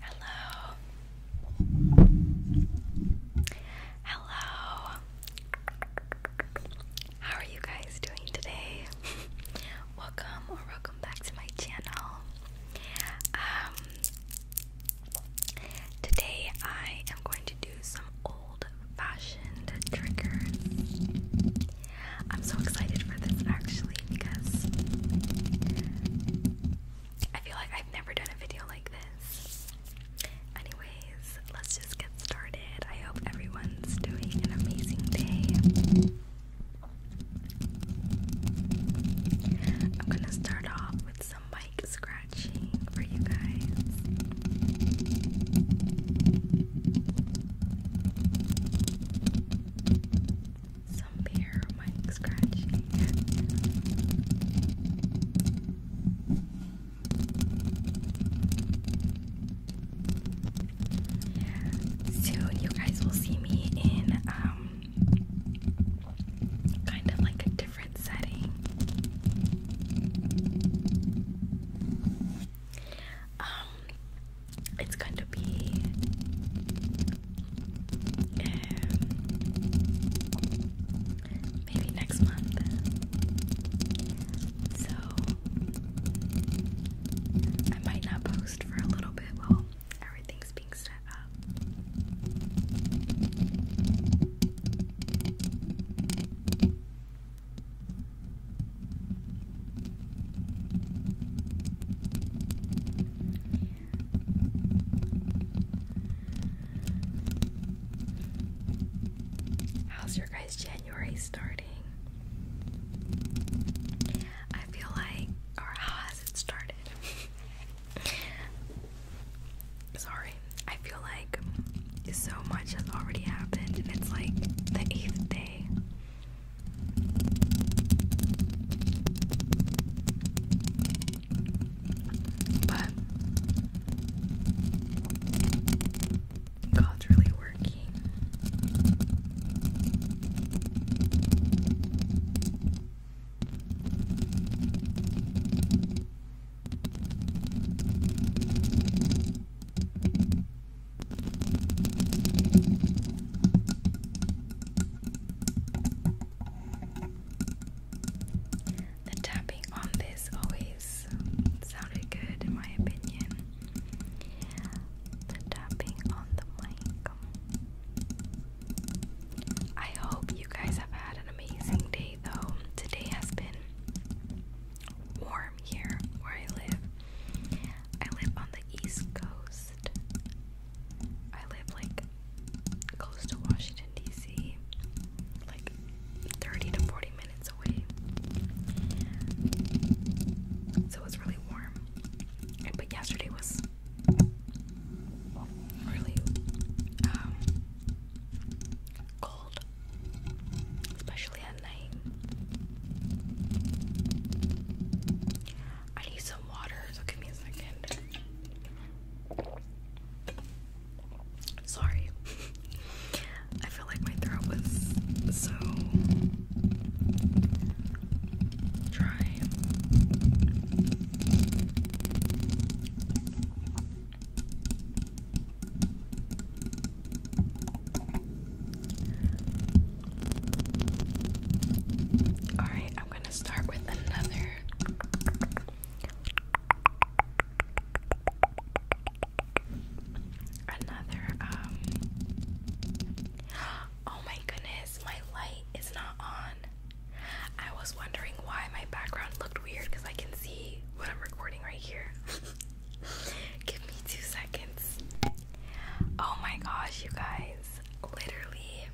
Hello. Hello. How are you guys doing today? welcome or welcome back to my channel. Um today I am going to do some old fashioned triggers. I'm so excited for this actually because I feel like I've never done a video like this. Anyways, let's just get started. I hope everyone's doing an amazing day. I'm gonna start off with some mic scratching for you guys some beer mic scratching. Soon, you guys will see me in um, kind of like a different setting. Um, it's going to be um, maybe next month. So I might not post for a little bit while everything's being set up. How's your guys' January starting? I feel like, or how has it started? Sorry, I feel like so much has already happened, and it's like the eighth day. But God's really working. The tapping on this always sounded good, in my opinion. The tapping on the mic. I hope you guys have had an amazing day, though. Today has been warm here where I live. I live on the East Coast. I live like close to Washington, D.C., like 30 to 40 minutes away. So it really warm. but yesterday was really um, cold, especially at night. I need some water, so give me a second. Sorry. I feel like my throat was so dry. Alright, I'm going to start with another. Another, um. Oh my goodness, my light is not on. I was wondering why my background looked weird because I can see what I'm recording right here. Give me two seconds. Oh my gosh, you guys literally.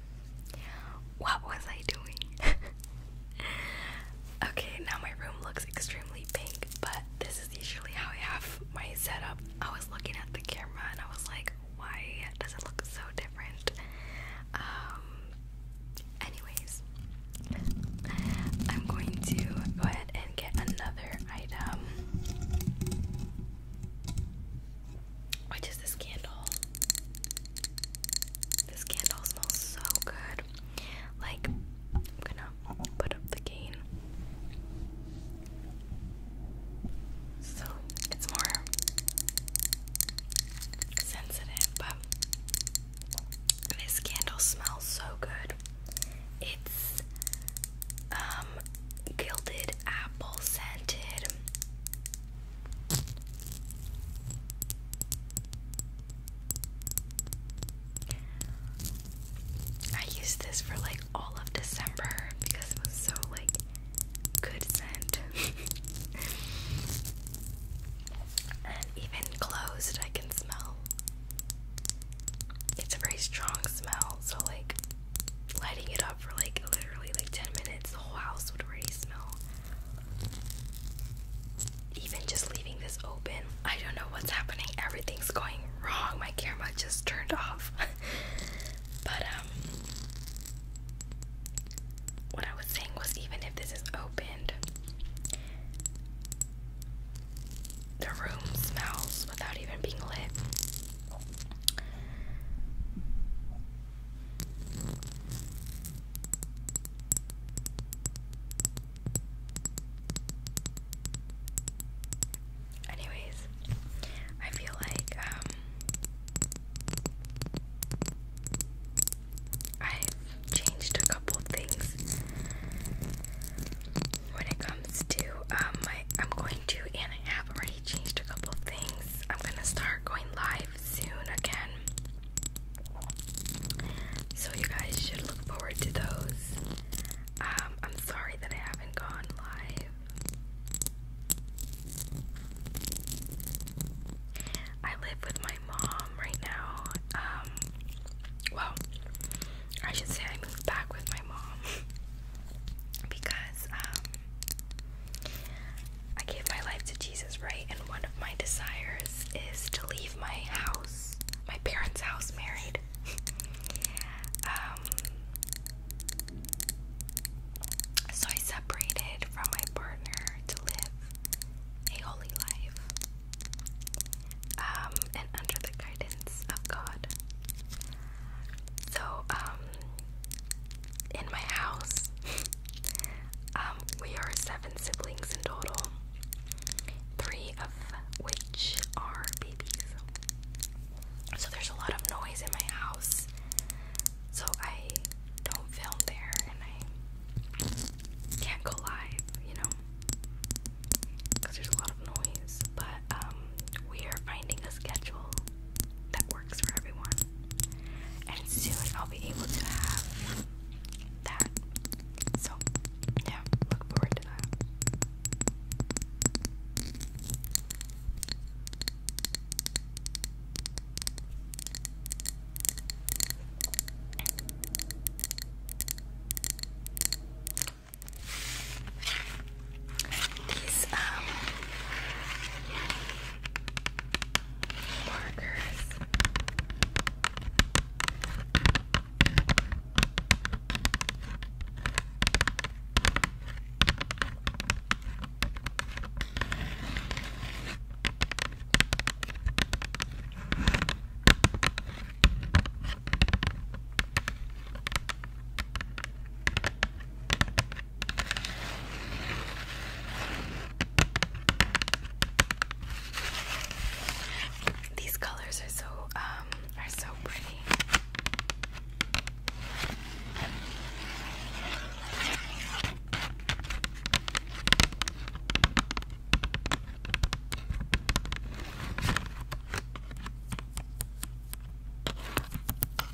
What was I doing? okay, now my room looks extremely pink, but this is usually how I have my setup. I was looking at the camera and I was like, why does it look so different? Um, anyways, I'm going to go ahead and get another item which is this candle. This candle smells so good. Like, I'm gonna put up the gain. So it's more sensitive, but this candle smells so good. It's um um, gilded apple scented. I used this for like all of December because it was so like good scent. and even closed I can smell. It's a very strong smell, so like lighting it up for like literally like 10 minutes, the whole house would already smell. Even just leaving this open, I don't know what's happening. Everything's going wrong. My camera just turned off. but, um, what I was saying was even if this is opened, the room smells without even being lit. Anyways, I feel like um, I've changed a couple things when it comes to um I'm going to and I have already changed a couple things. I'm gonna start going live soon again. So you guys should look forward to those. Um, I'm sorry that I haven't gone live. I live with my mom right now. Um, well, I should say I moved back with my mom because um, I gave my life to Jesus, right? And one of my desires is to leave my house, my parents' house, married. um, so I separated from my partner to live a holy life um, and under the guidance of God. So, um, in my house. Um, we are seven siblings in total, three of which are babies. So there's a lot of noise in my house. So I don't film there and I can't go live, you know, because there's a lot of noise. But um, we are finding a schedule that works for everyone. And soon I'll be able to have that. So, yeah, look forward to that these um markers. These colors are so um are so pretty.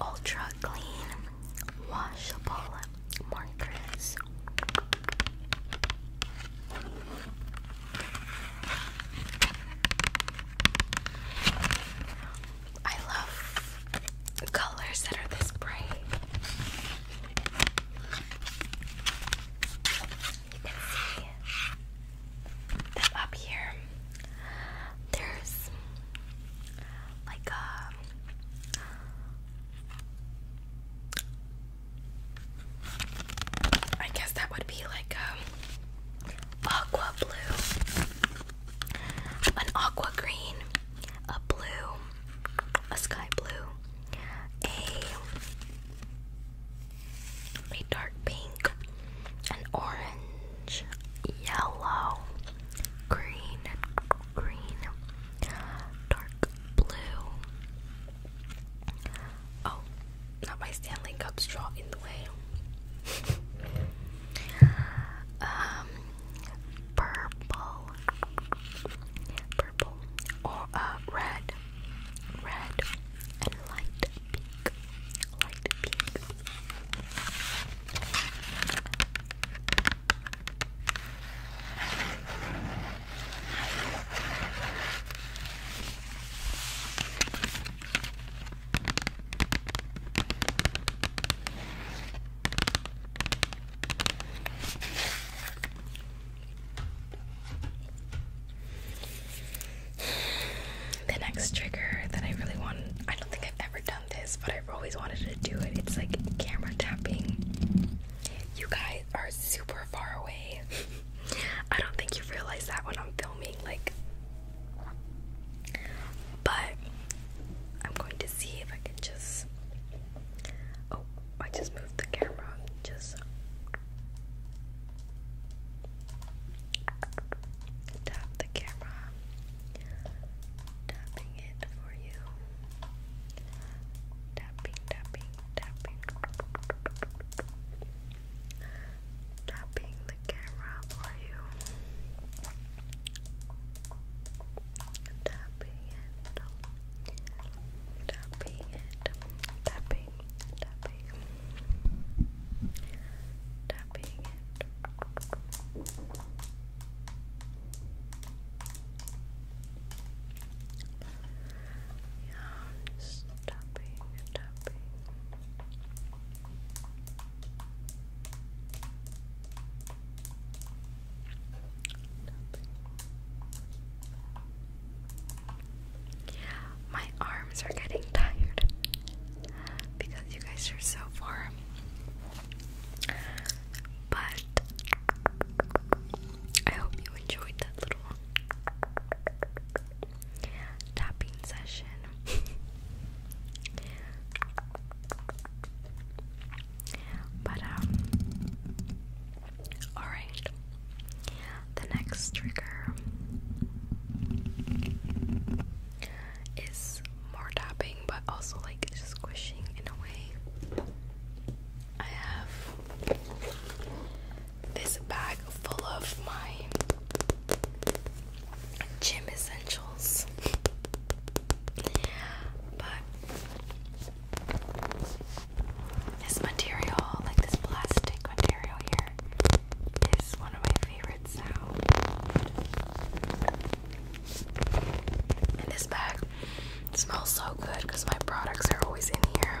Ultra clean, washable markers. I love colors that are this bright. You can see that up here there's like a um, I guess that would be like a um, aqua blue, an aqua green, a blue, a sky blue, a a dark pink, an orange, yellow, green, green, dark blue. Oh, not my Stanley Cup straw in the way. um purple, purple, or uh, red, red, and light pink, light pink. The next trigger that I really want, I don't think I've ever done this, but I've always wanted to do it. It's like camera tapping. You guys are super far away. I don't think you realize that when I'm filming. Like, but I'm going to see if I can just. Oh, I just moved the camera. Just tap the camera. Tapping it for you. Tapping, tapping, tapping. Tapping the camera for you tapping it, tapping it, tapping, tapping, tapping it. Yeah, just tapping, tapping. tapping, tapping, my arms are getting tired because you guys are so far. But I hope you enjoyed that little tapping session. But, um, alright. The next trigger is more tapping, but also like squishing in a way. I have this bag full of my gym essentials. but this material, like this plastic material here, is one of my favorites now. And this bag smells so good because my products are always in here.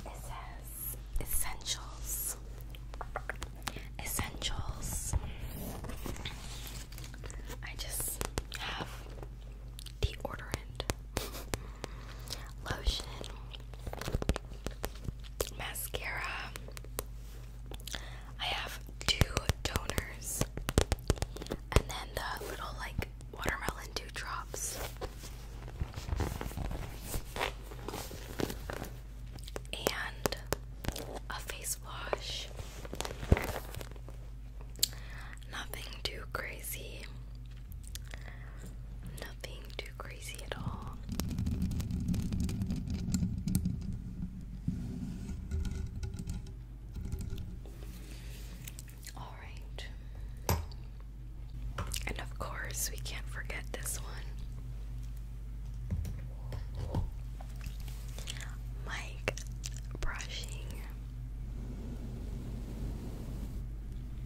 It says essentials, essentials. I just have deodorant lotion, mascara. I have two toners and then the little like watermelon dew drops. And a face wash. Nothing too crazy nothing too crazy at all. All right. And of course, we can't forget this one. Mike brushing.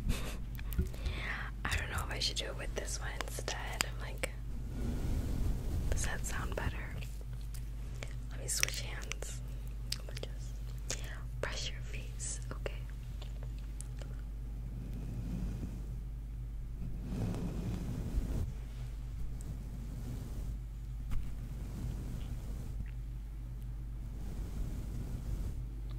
I don't know if I should do it with this one instead. I'm like, does that sound better? Let me switch hands. just brush your face, okay?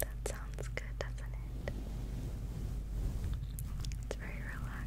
That sounds good, doesn't it? It's very relaxing.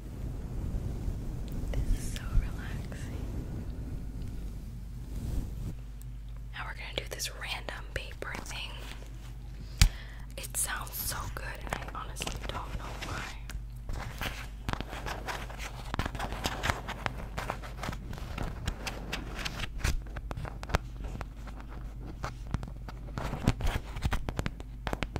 This is so relaxing. Now we're gonna do this random paper thing. It sounds so good, and I honestly don't know why.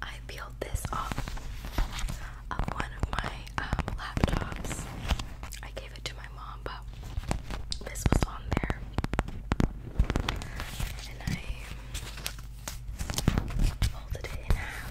I peeled this off of one of my um, laptops. I gave it to my mom, but this was on there. And I folded it in half.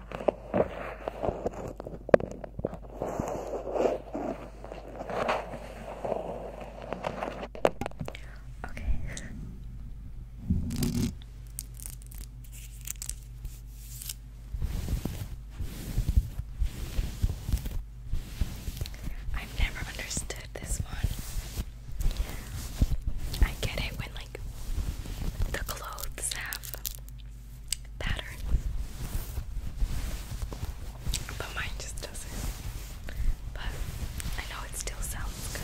Okay. I've never understood this one. I get it when like the clothes have pattern. But mine just doesn't. But I know it still sounds good.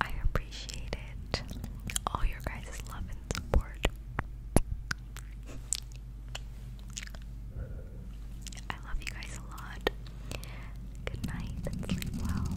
I appreciate it. All your guys' love and support. I love you guys a lot. Good night and sleep well.